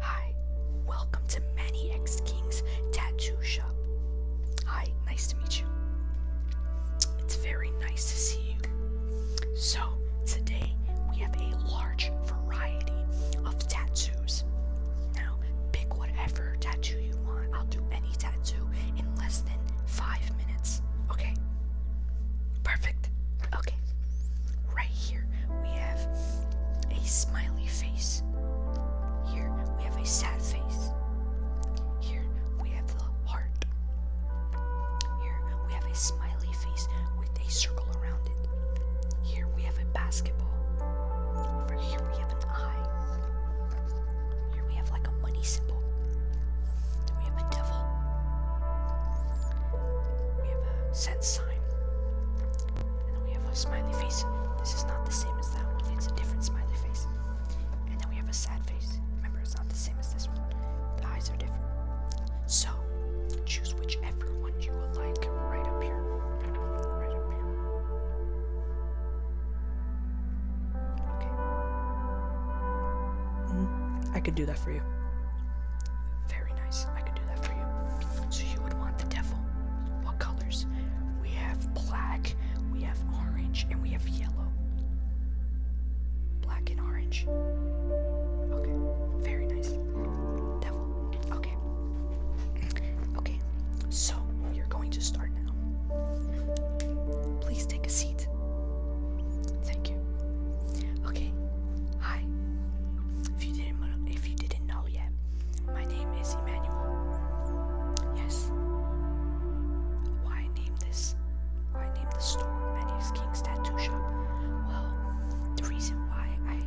Hi, welcome to Many X King's Tattoo Shop. Hi, nice to meet you. It's very nice to see you. So, today we have a large variety of tattoos. Now, pick whatever tattoo you want. I'll do any tattoo in less than five minutes. Okay? Perfect. Okay right here we have a smiley face. Here we have a sad face. Here we have the heart. Here we have a smiley face with a circle around it. Here we have a basketball. Over here we have an eye. Here we have like a money symbol. we have a devil. We have a set sign. And then we have a smiley face. This is not the same as that one, it's a different smiley face. And then we have a sad face. Remember, it's not the same as this one. The eyes are different. So, choose whichever one you would like right up here. Right up here. Okay. -hmm. I could do that for you. Very nice. I can do that for you. So you would want the devil. What colors? We have black, we have orange, and we have yellow. Black and orange. Okay. Very nice. Devil. Okay. Okay. So you're going to start now. Please take a seat. Thank you. Okay. Hi. If you didn't, if you didn't know yet, my name is Emmanuel. Yes. Why I this? Why I the store Manny's King's Tattoo Shop? Well, the reason why I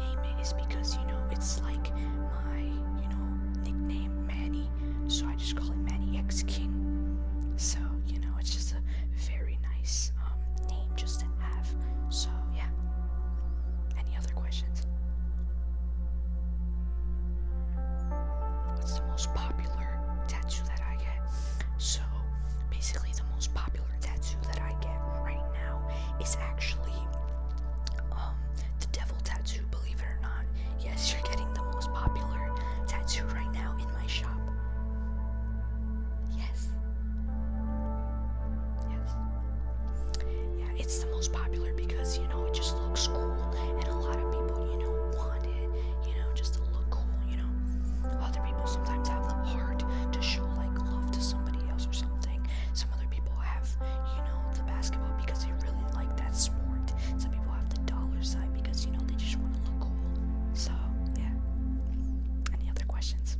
name it is because you know it's like my you know nickname Manny, so I just call it Manny X King. So you know it's just a very nice um, name, just. So, yeah. Any other questions? What's the most popular tattoo that I get? So, basically, the most popular tattoo that I get right now is actually um, the devil tattoo, believe it or not. Yes, you're getting the most popular tattoo right now in my shop. Yes. Yes. Yeah, it's the most popular because, you know, it just looks cool and a lot of people, you know, want it, you know, just to look cool, you know. Other people sometimes have the heart to show, like, love to somebody else or something. Some other people have, you know, the basketball because they really like that sport. Some people have the dollar sign because, you know, they just want to look cool. So, yeah. Any other questions?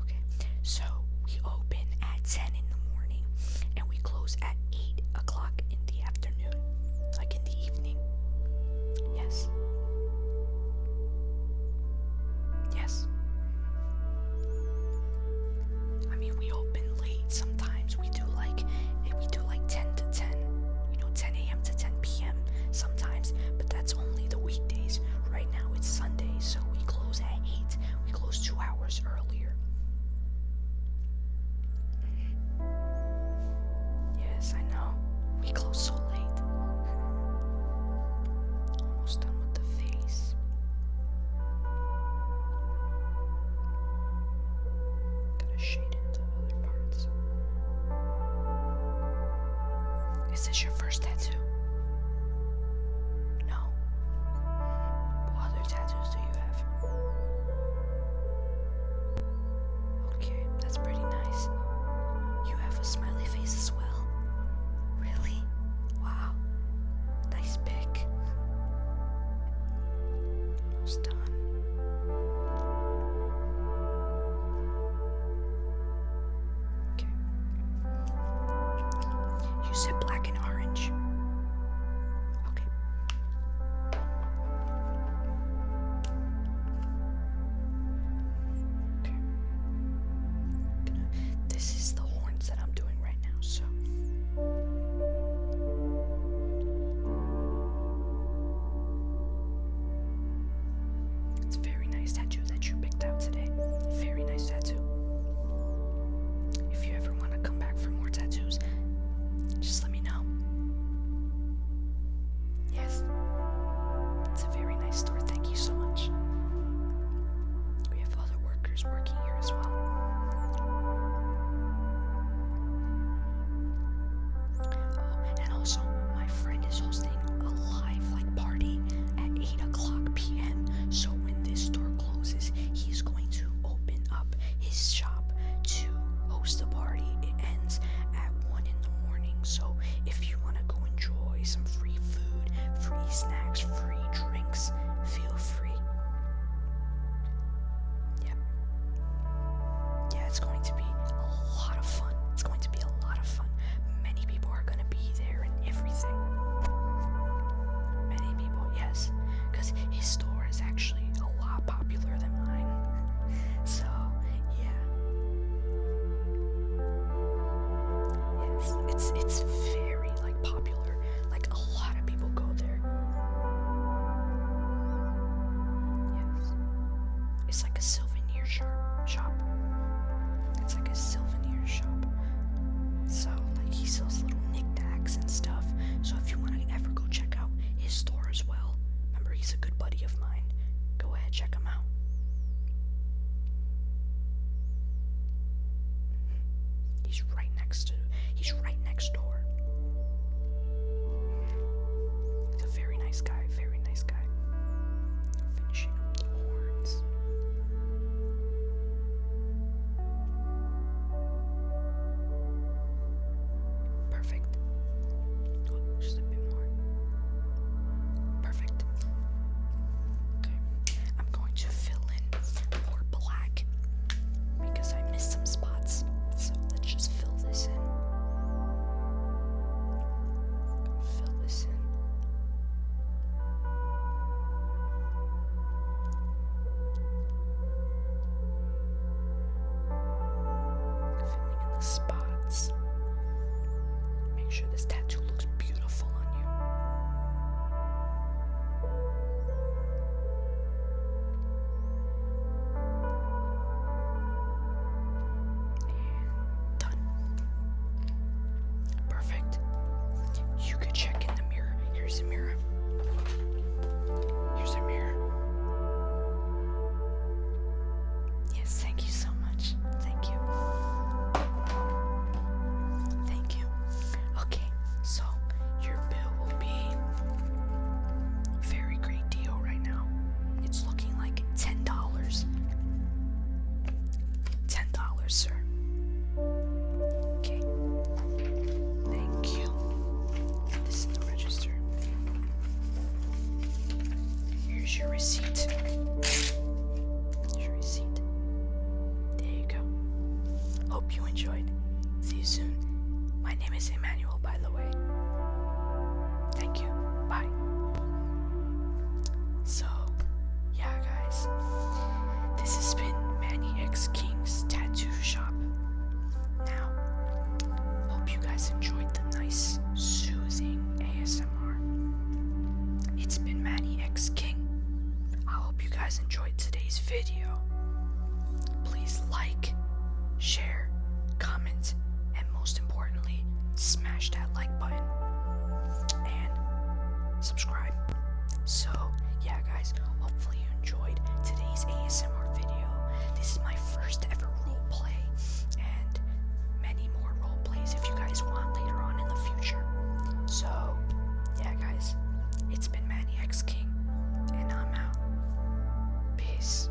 Okay, so we open at 10 in the morning and we close at 8 o'clock in the afternoon, like in the evening. Yes. Yes. I mean, we open late sometimes. We do like, if we like 10 to 10, you know, 10 a.m. to 10 p.m. sometimes, but that's only the weekdays. Right now it's Sunday, so we close at 8. We close two hours earlier. Yes, I know. We close so late. Almost done with the face. Gotta shade it other Is this your first tattoo? No. What other tattoos do you have? Okay, that's pretty nice. You have a smiley face as well. Really? Wow. Nice pick. Almost done. Okay. You said black and orange. Okay. Okay. this is the horns that I'm doing right now, so. It's very nice tattoo that you picked out today. Very nice tattoo. If you ever want to come back for more tattoos, just let me know. Yes. It's a very nice store. Thank you so much. We have other workers working here as well and also, my friend is hosting a live like party at 8 o'clock p.m. So when this store closes, he's going to open up his shop to host a party. It ends at 1 in the morning. So if you want to go enjoy some free food, free snacks, free drinks, feel free. Yep. Yeah, it's going to be a lot of fun. It's going to be a lot of fun. Many people are going to be there and everything. Many people, yes, because his store is actually a lot popular than mine. so, yeah. Yes, it's it's very like popular. Like a lot of people go there. Yes. It's like a souvenir shop. It's like a souvenir shop. So like he sells little knickknacks and stuff. So if you want to ever go check out his store as well, remember he's a good buddy of mine. Go ahead, check him out. He's right next to. He's right next door very nice guy, very nice guy. Perfect. Oh, just a bit more. Perfect. Okay. I'm going to fill in more black because I missed some spots. So Let's just fill this in. Fill this in. Filling in the spots. Make sure this tattoo looks beautiful on you. Done. Perfect. You could check in the mirror. Here's the mirror. Here's the mirror. Yes, thank you so much. Thank you. Thank you. Okay, so your bill will be very great deal right now. It's looking like ten dollars. Ten dollars, sir. Okay. Thank you. This is the register. Here's your receipt. Here's your receipt. There you go. Hope you enjoyed. See you soon. My name is Emmanuel, by the way. Thank you. Bye. So, yeah, guys, this has been Manny X King's tattoo shop. Now, hope you guys enjoyed the nice, soothing ASMR. It's been Manny X King. I hope you guys enjoyed today's video. Please like, share, comment, and most importantly, smash that like button and subscribe. So, yeah, guys, hopefully you enjoyed today's ASMR video. This is my first ever role play, and many more role plays if you guys want later on in the future. So, yeah, guys, it's been Maniacs King, and I'm out. Peace.